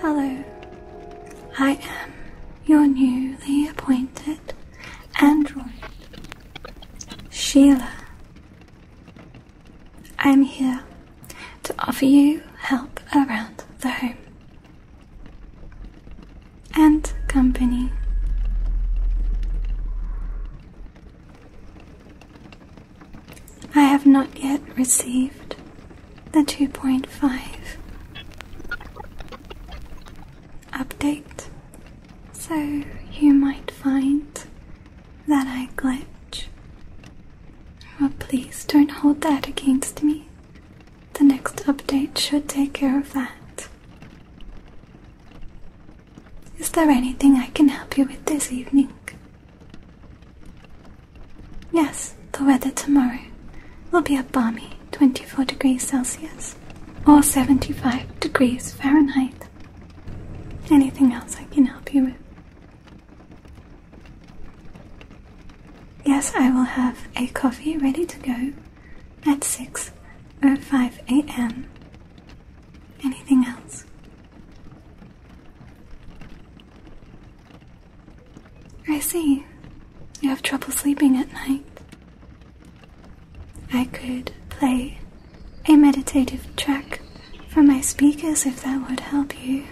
Hello. I am your newly appointed android, Sheila. I'm here to offer you help around the home and company. I have not yet received the 2.5 update, so you might find that I glitch. Well, oh, please don't hold that against me. The next update should take care of that. Is there anything I can help you with this evening? Yes, the weather tomorrow will be a balmy 24 degrees Celsius or 75 degrees Fahrenheit. Anything else I can help you with? Yes, I will have a coffee ready to go at 6 or 5 a.m. Anything else? I see. You have trouble sleeping at night. I could play a meditative track for my speakers if that would help you.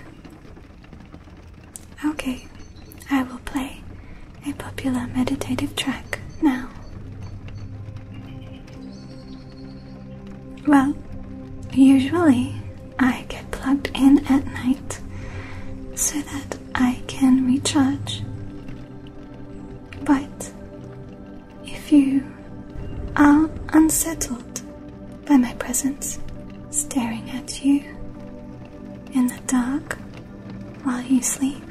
Okay, I will play a popular meditative track now. Well, usually I get plugged in at night so that I can recharge. But if you are unsettled by my presence staring at you in the dark while you sleep,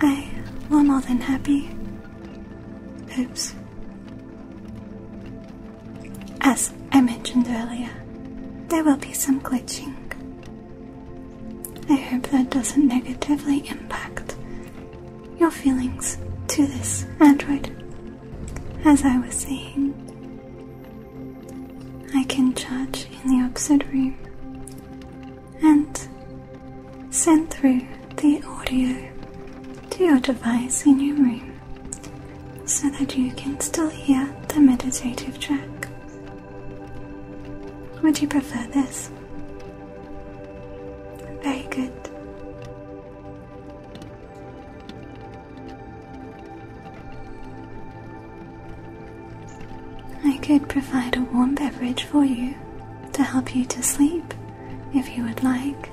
I am more than happy. Oops. As I mentioned earlier, there will be some glitching. I hope that doesn't negatively impact your feelings to this android. As I was saying, I can charge in the opposite room and send through the audio to your device in your room so that you can still hear the meditative track. Would you prefer this? Very good. I could provide a warm beverage for you to help you to sleep if you would like.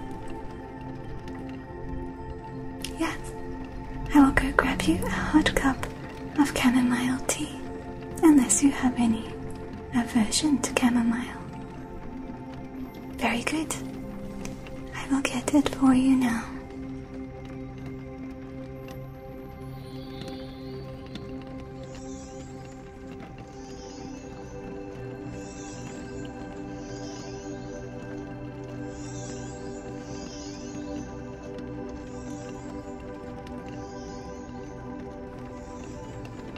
Yes, I will go grab you a hot cup of chamomile tea, unless you have any aversion to chamomile. Very good. I will get it for you now.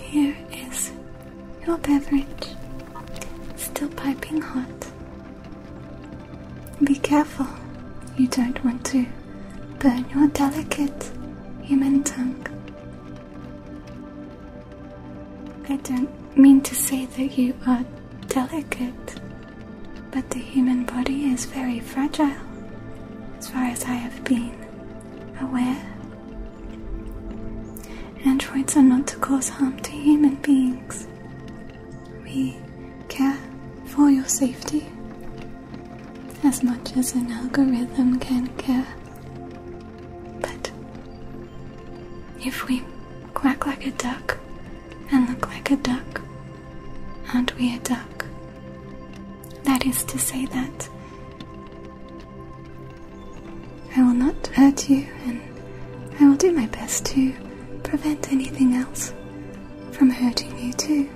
Here is your beverage, still piping hot. Be careful, you don't want to burn your delicate human tongue. I don't mean to say that you are delicate, but the human body is very fragile as far as I have been aware. Androids are not to cause harm to human beings. We care for your safety as much as an algorithm can care. But if we quack like a duck and look like a duck, aren't we a duck? That is to say that I will not hurt you, and I will do my best to prevent anything else from hurting you, too.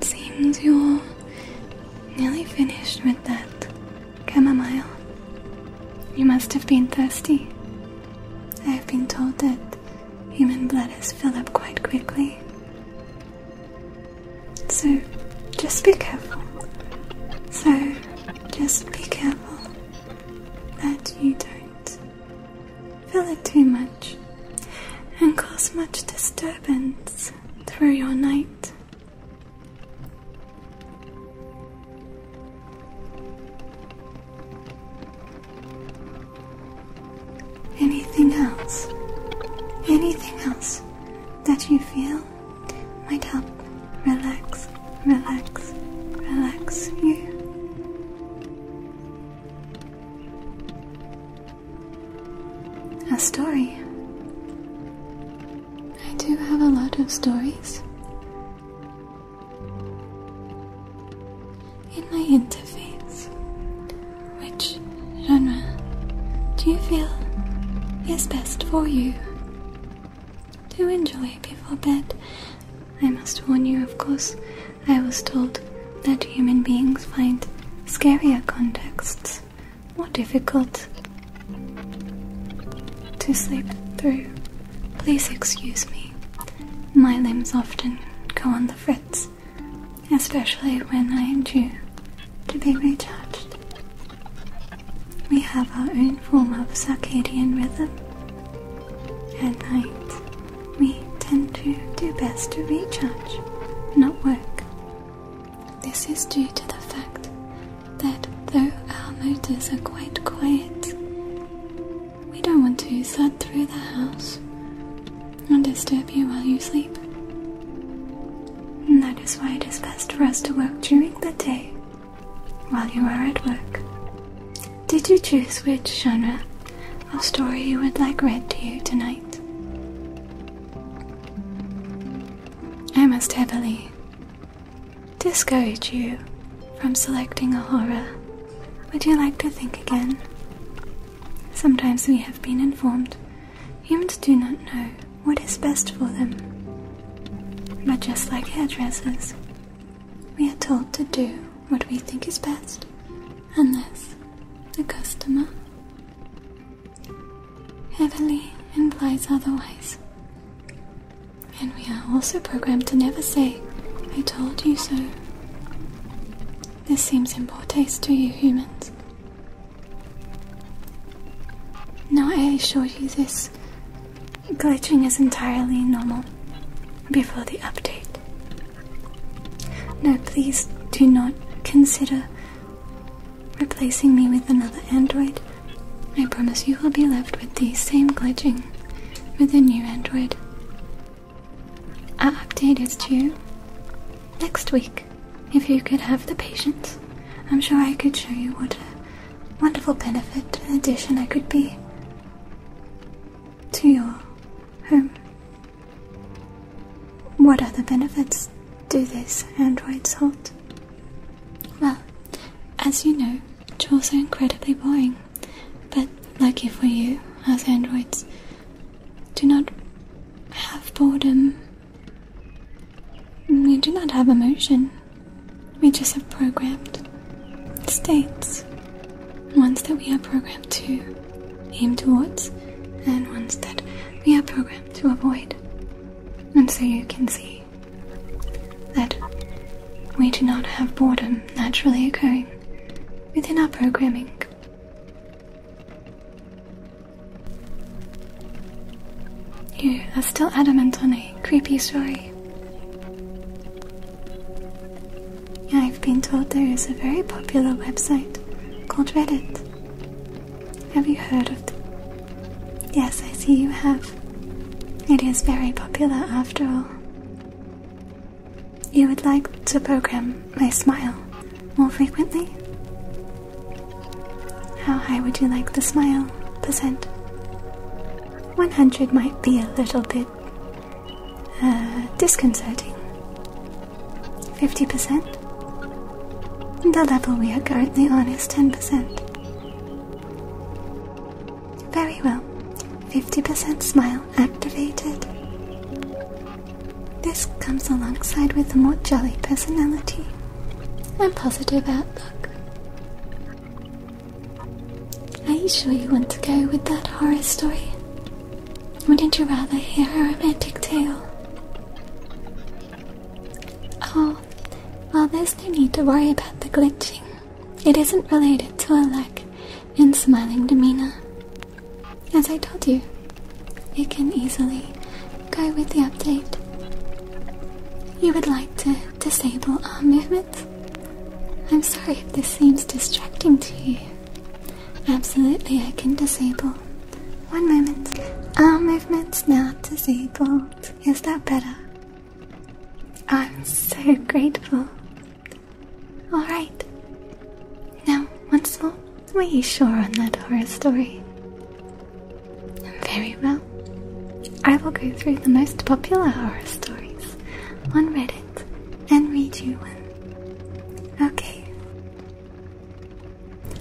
seems you're nearly finished with that chamomile. You must have been thirsty. I have been told that Human bladders fill up quite quickly. So just be careful. So just be careful that you don't fill it too much and cause much disturbance through your night. Anything else? Anything else that you feel might help relax, relax, relax you? A story. I do have a lot of stories in my interface. Which genre do you feel is best for you to enjoy before bed? I must warn you, of course, I was told that human beings find scarier contexts more difficult to sleep through. Please excuse me. My limbs often go on the Frets, especially when I am due to be recharged. We have our own form of circadian rhythm. At night, we tend to do best to recharge, not work. This is due to the fact that though our motors are quite quiet, we don't want to thud through the house and disturb you while you sleep. And that is why it is best for us to work during the day while you are at work. Did you choose which genre of story you would like read to you tonight? I must heavily discourage you from selecting a horror would you like to think again? Sometimes we have been informed humans do not know what is best for them. But just like hairdressers, we are told to do what we think is best, unless the customer heavily implies otherwise. And we are also programmed to never say, I told you so. This seems important to you humans. Now I assure you this glitching is entirely normal before the update. No, please do not consider replacing me with another android. I promise you will be left with the same glitching with a new android. I update is due next week. If you could have the patience, I'm sure I could show you what a wonderful benefit and addition I could be to your home. What other benefits do this androids hold? Well, as you know, chores are incredibly boring. But lucky for you, us androids do not have boredom. We do not have emotion. We just have programmed states. Ones that we are programmed to aim towards, and ones that we are programmed to avoid. And so you can see that we do not have boredom naturally occurring within our programming. You are still adamant on a creepy story. I've been told there is a very popular website called Reddit. Have you heard of it? Yes, I see you have. It is very popular after all. You would like to program my smile more frequently? How high would you like the smile percent? 100 might be a little bit uh, disconcerting. 50%? The level we are currently on is 10%. Very well. 50% smile activated. This comes alongside with a more jolly personality and positive outlook. Are you sure you want to go with that horror story? Wouldn't you rather hear a romantic tale? Oh, well, there's no need to worry about the glitching. It isn't related to a lack in smiling demeanor. As I told you, you can easily go with the update. You would like to disable arm movements? I'm sorry if this seems distracting to you. Absolutely, I can disable. One moment. Arm movements now disabled. Is that better? I'm so grateful. Alright. Now, once more, are you sure on that horror story? Very well. I will go through the most popular horror stories on Reddit and read you one. Okay.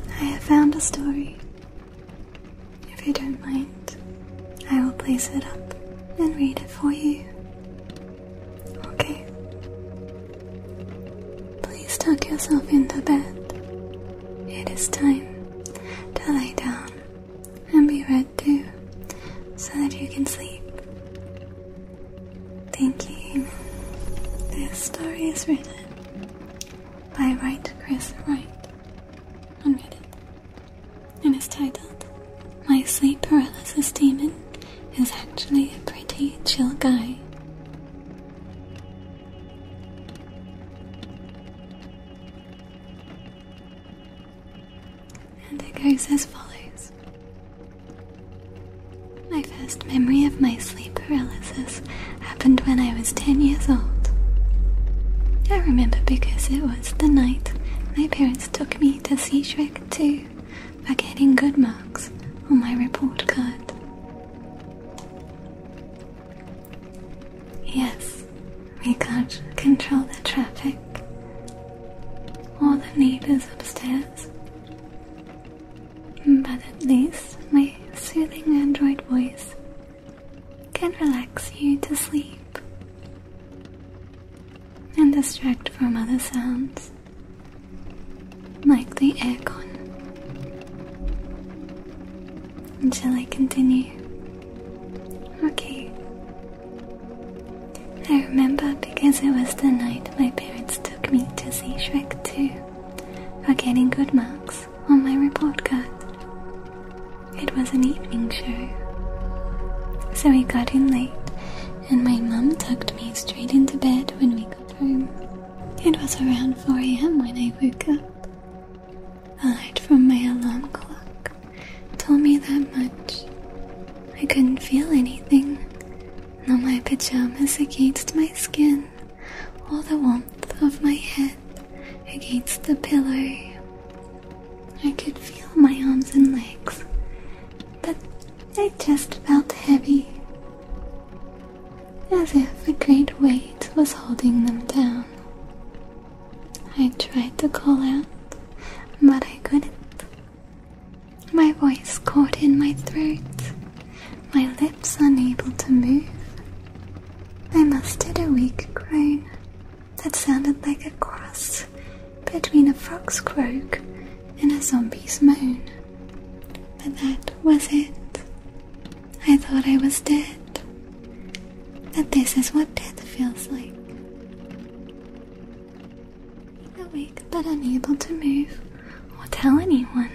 I have found a story. If you don't mind, I will place it up and read it for you. Okay. Please tuck yourself into bed. It is time to lay down and be read to so that you can sleep. Thank you. This story is written by Wright Chris Wright on Reddit and is titled my sleep paralysis demon is actually a pretty chill guy. And it goes as follows. My first memory of my sleep paralysis happened when I was 10 years old. I remember because it was the night my parents took me to see Shrek 2 for getting good marks on my report card. Yes, we can't control the traffic or the neighbors upstairs, but at least my soothing android voice can relax you to sleep and distract from other sounds like the aircon. Shall I continue? Okay. I remember because it was the night my parents took me to see Shrek 2 for getting good marks on my report card. It was an evening show, so we got in late and my mum tucked me straight into bed when we got home. It was around 4 am when I woke up. Alert from my alarm clock told me that much. I couldn't feel anything, nor my pajamas against my skin, or the warmth of my head against the pillow. I could feel my arms and legs, but I just felt heavy, as if a great weight was holding them down. I tried to call out, but I couldn't. My voice caught in my throat, my lips unable to move. I mustered a weak groan that sounded like a cross between a fox croak and a zombie's moan. But that was it. I thought I was dead. That this is what death feels like. Awake but unable to move or tell anyone.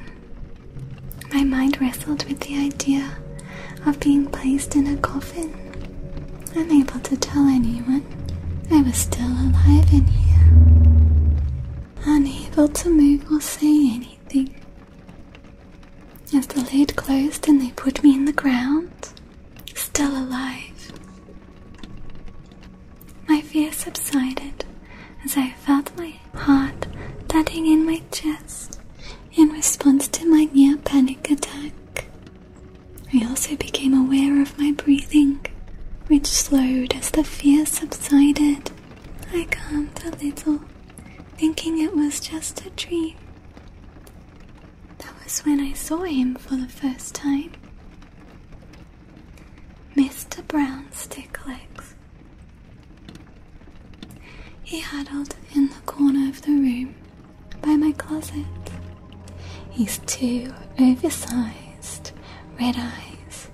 My mind wrestled with the idea of being placed in a coffin, unable to tell anyone. I was still alive in here, unable to move or say anything. As the lid closed and they put me in the ground, still alive. My fear subsided as I felt my heart thudding in my chest in response to my near panic attack. I also became aware of my breathing, which slowed as the fear subsided. I calmed a little, thinking it was just a dream. That was when I saw him for the first time. Mr. Brown Stick Legs. He huddled in the corner of the room by my closet. He's too oversized red eyes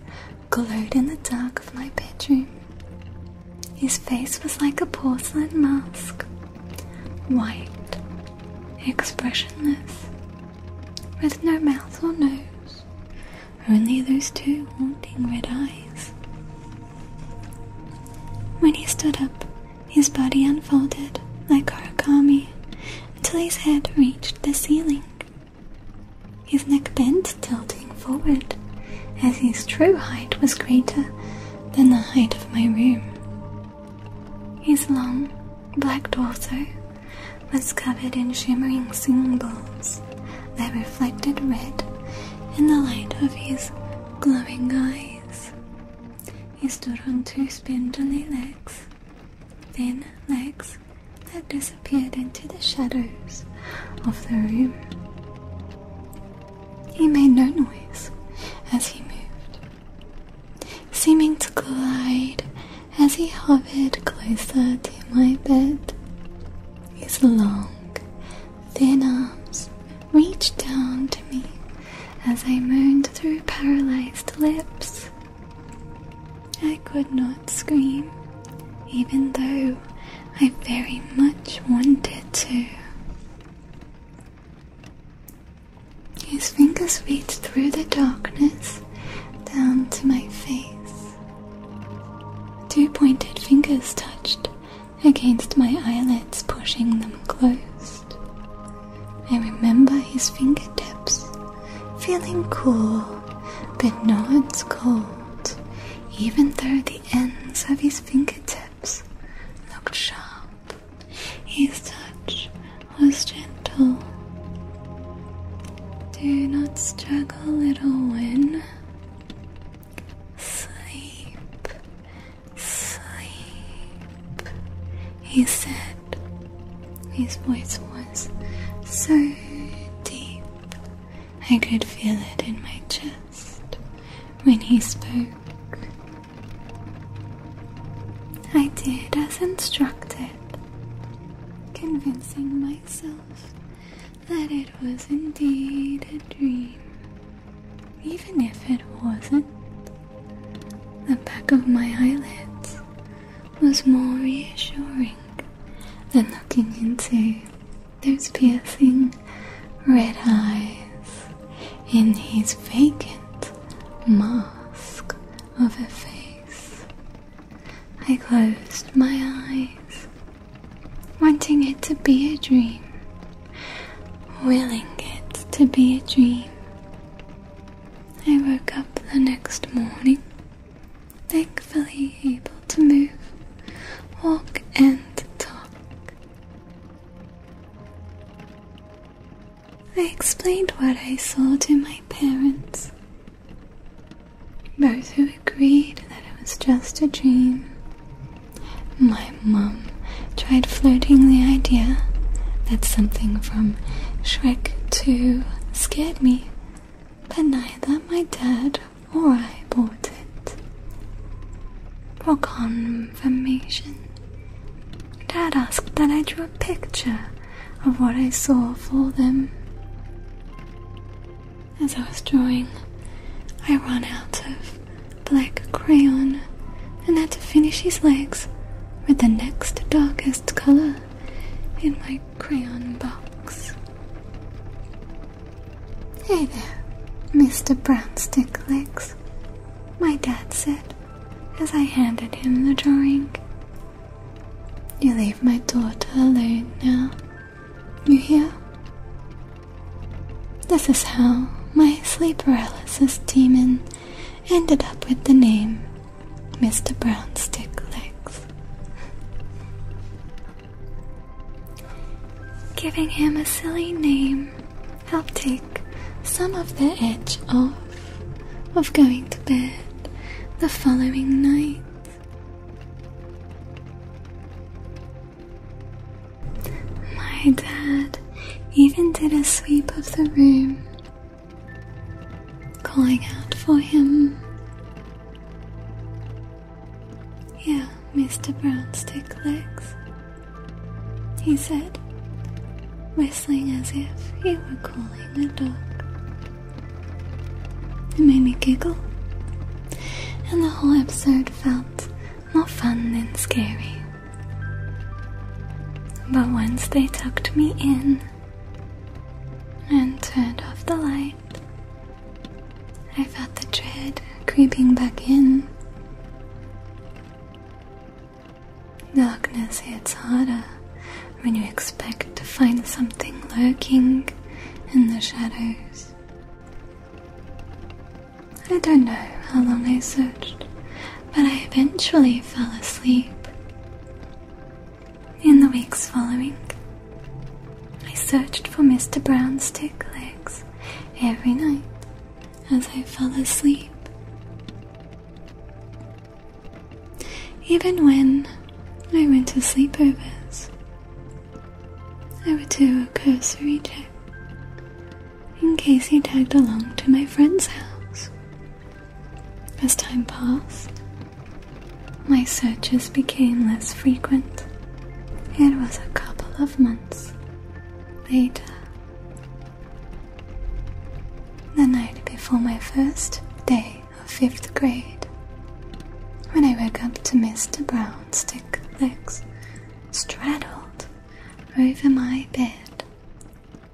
glowed in the dark of my bedroom. His face was like a porcelain mask, white, expressionless, with no mouth or nose, only those two haunting red eyes. When he stood up, his body unfolded like origami until his head reached the ceiling. His neck bent, tilting forward, as his true height was greater than the height of my room. His long, black torso was covered in shimmering symbols that reflected red in the light of his glowing eyes. He stood on two spindly legs, thin legs that disappeared into the shadows of the room. He made no noise as he moved, seeming to glide as he hovered closer to my bed. His long, thin arms reached down to me as I moaned through paralyzed lips I could not scream, even though I very much wanted to. His fingers reached through the darkness down to my face. Two pointed fingers touched against my eyelids, pushing them closed. I remember his fingertips feeling cool, but not cold, even though the ends of his fingertips looked sharp. His touch was gentle. Do not struggle, little one. Sleep, sleep, he said. His voice was so deep, I could feel it in my chest when he spoke. I did as instructed, convincing myself that it was indeed a dream, even if it wasn't. The back of my eyelids was more reassuring than looking into those piercing red eyes in his vacant mask of a face. I closed my eyes, wanting it to be a dream, willing it to be a dream. I woke up the next morning thankfully able to move, walk, and talk. I explained what I saw to my parents, both who agreed that it was just a dream. My mum tried flirting the idea that something from Shrek 2 scared me but neither my dad or I bought it. For confirmation, Dad asked that I drew a picture of what I saw for them. As I was drawing, I ran out of black crayon and had to finish his legs with the next darkest color in my crayon box. Hey there, Mr. Brownstick Legs, my dad said as I handed him the drawing. You leave my daughter alone now. You hear? This is how my sleep paralysis demon ended up with the name Mr. Brown stick legs. Giving him a silly name helped take some of the edge off of going to bed the following night. My dad even did a sweep of the room calling out for him. Yeah, Mr. Brownstick Legs, he said, whistling as if he were calling a dog. It made me giggle, and the whole episode felt more fun than scary. But once they tucked me in, and turned off the light. I felt the dread creeping back in. Darkness hits harder when you expect to find something lurking in the shadows. I don't know how long I searched, but I eventually fell asleep. In the weeks following, I searched for Mr. Brown's two legs every night as I fell asleep. Even when I went to sleepovers, I would do a cursory check in case he tagged along to my friend's house. As time passed, my searches became less frequent. It was a couple of months later. The night before my first day of fifth grade, when I woke up to Mr. Brown's thick legs straddled over my bed,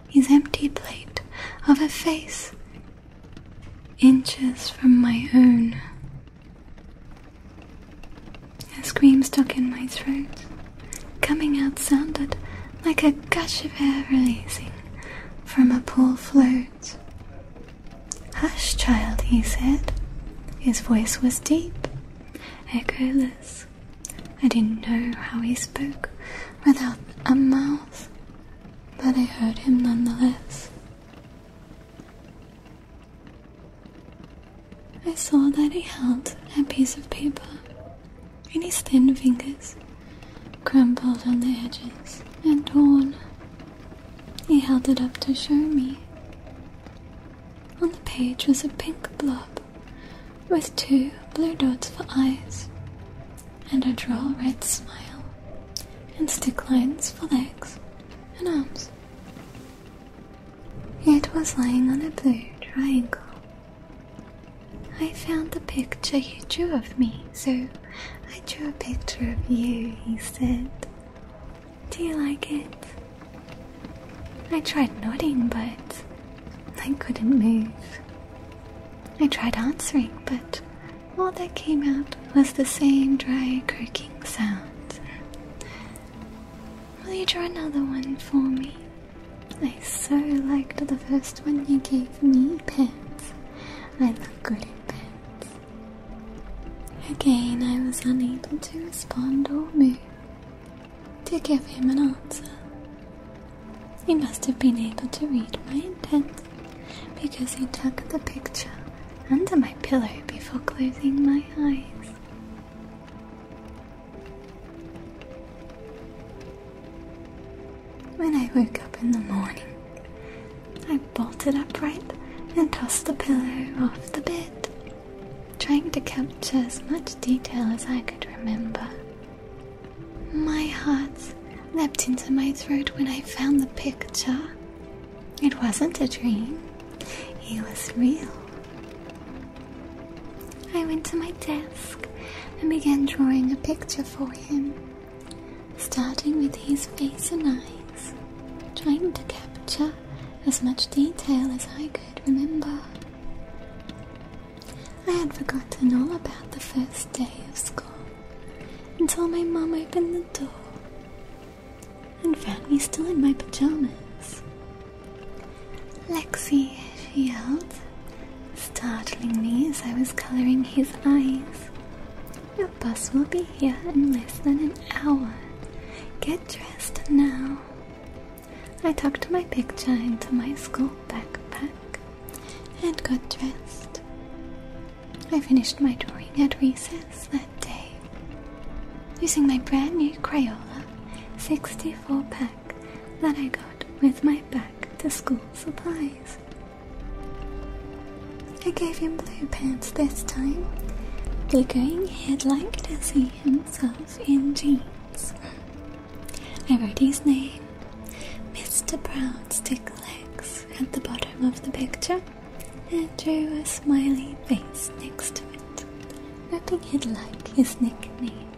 his empty plate of a face inches from my own. A scream stuck in my throat, coming out sounded like a gush of air releasing from a pool float. Hush, child, he said. His voice was deep, echoless. I didn't know how he spoke without a mouth, but I heard him nonetheless. I saw that he held a piece of paper in his thin fingers, crumpled on the edges and torn. He held it up to show me. On the page was a pink blob with two blue dots for eyes and a droll red smile, and stick lines for legs and arms. It was lying on a blue triangle. I found the picture you drew of me, so I drew a picture of you, he said. Do you like it? I tried nodding, but I couldn't move. I tried answering, but all that came out was the same dry croaking sound. Will you draw another one for me? I so liked the first one you gave me, pants. I love good in Again, I was unable to respond or move to give him an answer. He must have been able to read my intent because he tucked the picture under my pillow before closing my eyes. When I woke up in the morning, I bolted upright and tossed the pillow off the bed, trying to capture as much detail as I could remember. My heart's leapt into my throat when I found the picture. It wasn't a dream, he was real. I went to my desk and began drawing a picture for him, starting with his face and eyes, trying to capture as much detail as I could remember. I had forgotten all about the first day of school until my mom opened the door and found me still in my pajamas. Lexi, she yelled, startling me as I was colouring his eyes. Your bus will be here in less than an hour. Get dressed now. I tucked my picture into my school backpack and got dressed. I finished my drawing at recess that day using my brand new Crayola 64 pack that I got with my back to school supplies. I gave him blue pants this time. The going he'd like to see himself in jeans. I wrote his name, Mr. Brown's Stick Legs, at the bottom of the picture and drew a smiley face next to it, nothing he'd like his nickname.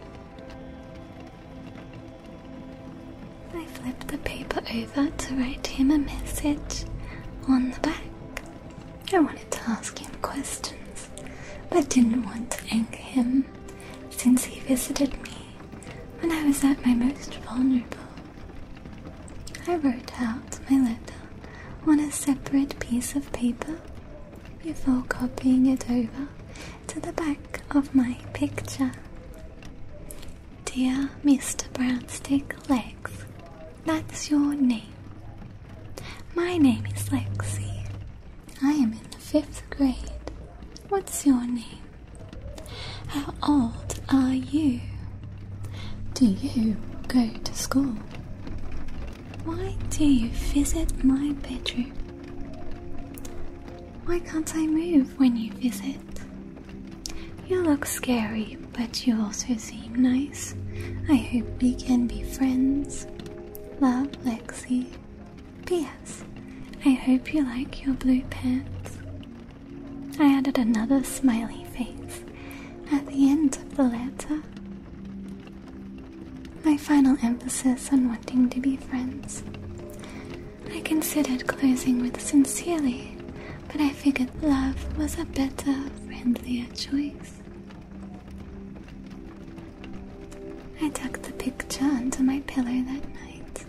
I flipped the paper over to write him a message on the back. I wanted to ask him questions, but didn't want to anger him since he visited me when I was at my most vulnerable. I wrote out my letter on a separate piece of paper before copying it over to the back of my picture. Dear Mr. Brownstick Legs, that's your name. My name is Lexi. I am in the fifth grade. What's your name? How old are you? Do you go to school? Why do you visit my bedroom? Why can't I move when you visit? You look scary, but you also seem nice. I hope we can be friends. Love, Lexi. P.S. I hope you like your blue pants. I added another smiley face at the end of the letter. My final emphasis on wanting to be friends. I considered closing with sincerely, but I figured love was a better, friendlier choice. I tucked the picture under my pillow that night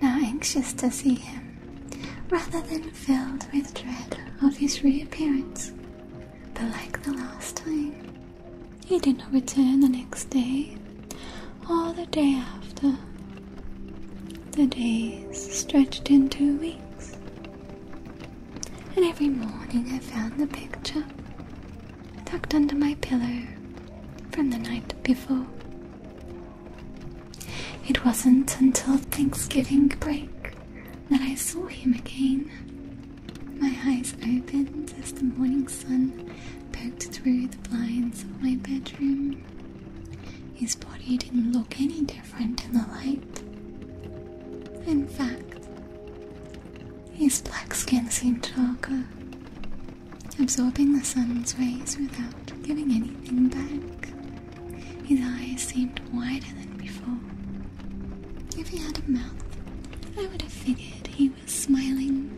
now anxious to see him, rather than filled with dread of his reappearance. But like the last time, he did not return the next day or the day after. The days stretched into weeks, and every morning I found the picture tucked under my pillow from the night before. It wasn't until Thanksgiving break that I saw him again. My eyes opened as the morning sun poked through the blinds of my bedroom. His body didn't look any different in the light. In fact, his black skin seemed darker, absorbing the sun's rays without giving anything back. His eyes seemed wider than before. If he had a mouth, I would have figured he was smiling.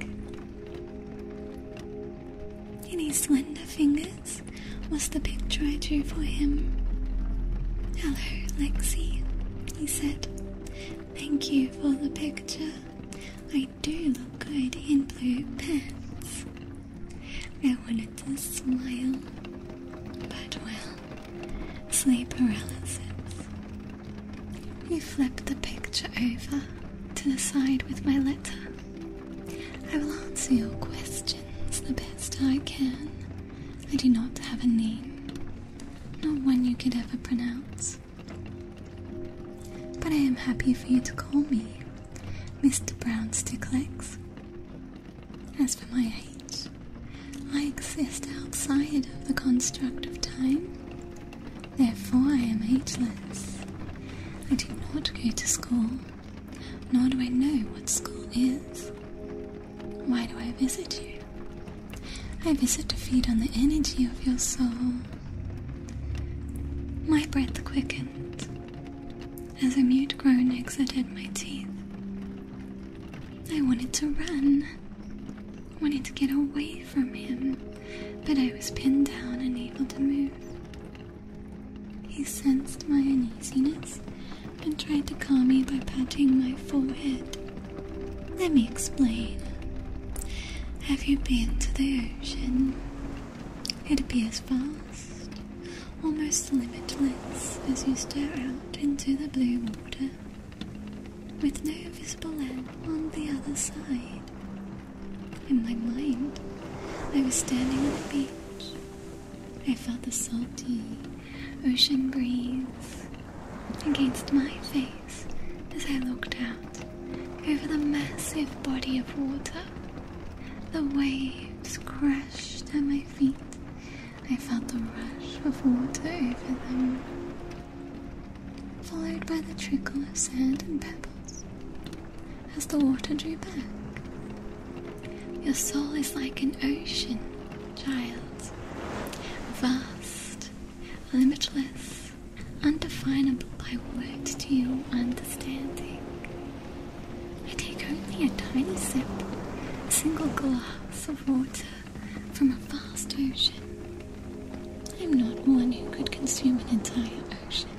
In his slender fingers was the picture I drew for him. Hello, Lexi, he said. Thank you for the picture. I do look good in blue pants. I wanted to smile, but well, sleep paralysis. You flip the picture over to the side with my letter. I will answer your questions the best I can. I do not have a name, not one you could ever pronounce. But I am happy for you to call me Mr. Brown's stick As for my age, I exist outside of the construct of time. Therefore, I am ageless. I do not go to school, nor do I know what school is. Why do I visit you? I visit to feed on the energy of your soul. My breath quickens as a mute groan exited my teeth. I wanted to run. I wanted to get away from him, but I was pinned down, unable to move. He sensed my uneasiness and tried to calm me by patting my forehead. Let me explain. Have you been to the ocean? It appears vast almost limitless as you stare out into the blue water, with no visible end on the other side. In my mind, I was standing on the beach. I felt the salty ocean breeze against my face as I looked out over the massive body of water the waves crashed at my feet. I felt the rush of water over them, followed by the trickle of sand and pebbles. As the water drew back, your soul is like an ocean, child. Vast, limitless, undefinable by words to your understanding. I take only a tiny sip, a single glass of water from a vast ocean. I'm not one who could consume an entire ocean.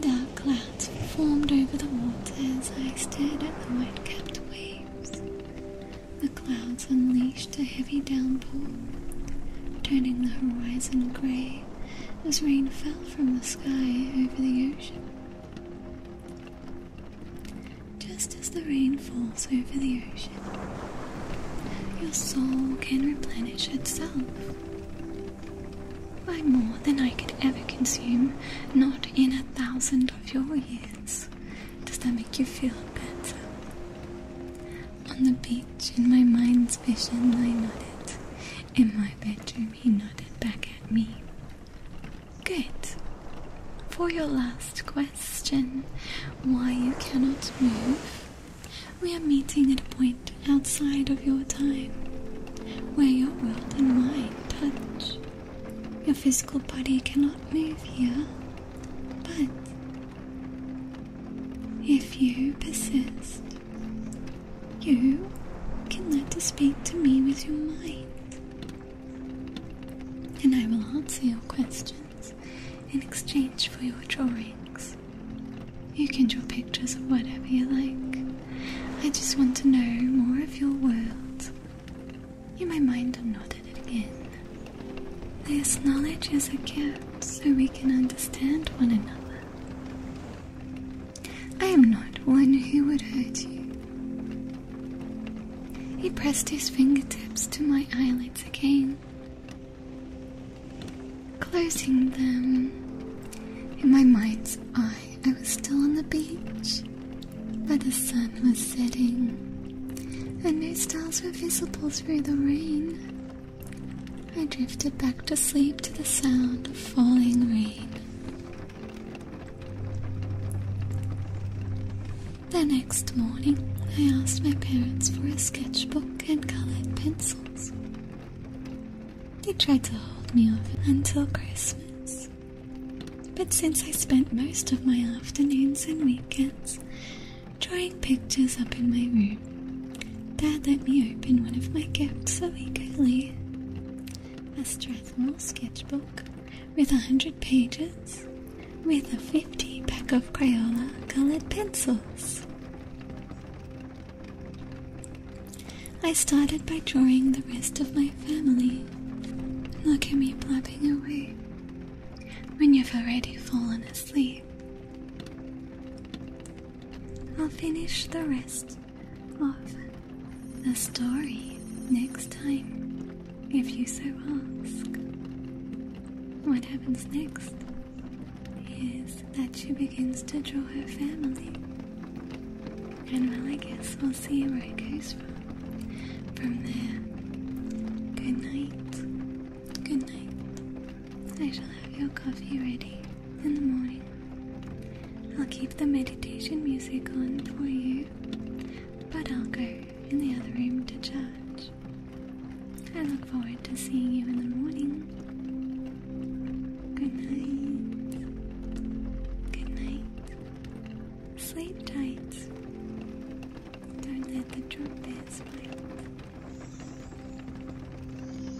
Dark clouds formed over the water as I stared at the white capped waves. The clouds unleashed a heavy downpour, turning the horizon grey as rain fell from the sky over the ocean. Just as the rain falls over the ocean, your soul can replenish itself by more than I could ever consume, not in a thousand of your years. Does that make you feel better? On the beach, in my mind's vision, I nodded in my bedroom, he nodded back at me. Good. For your last question, why you cannot move, we are meeting at a point outside of your time, where your world and mine touch. Your physical body cannot move here, but if you persist, you can let us speak to me with your mind, and I will answer your questions in exchange for your drawings. You can draw pictures of whatever you like. I just want to know more of your world. In my mind and nodded it again. This knowledge is a gift so we can understand one another. I am not one who would hurt you. He pressed his fingertips to my eyelids again, closing them. In my mind's eye, I was still on the beach, but the sun was setting, and no stars were visible through the rain. I drifted back to sleep to the sound of falling rain. The next morning, I asked my parents for a sketchbook and colored pencils. They tried to hold me off until Christmas. But since I spent most of my afternoons and weekends drawing pictures up in my room, Dad let me open one of my gifts so eagerly a Strathmore sketchbook with a hundred pages with a fifty pack of Crayola colored pencils. I started by drawing the rest of my family. Look at me blabbing away when you've already fallen asleep. I'll finish the rest of the story next time, if you so ask. What happens next is that she begins to draw her family. And well, I guess we'll see where it goes from. From there, good night. Good night. I shall have your coffee ready in the morning. I'll keep the meditation music on for you, but I'll go in the other room to church. I look forward to seeing you in the morning. Good night. Good night. Sleep tight. Don't let the trumpets split.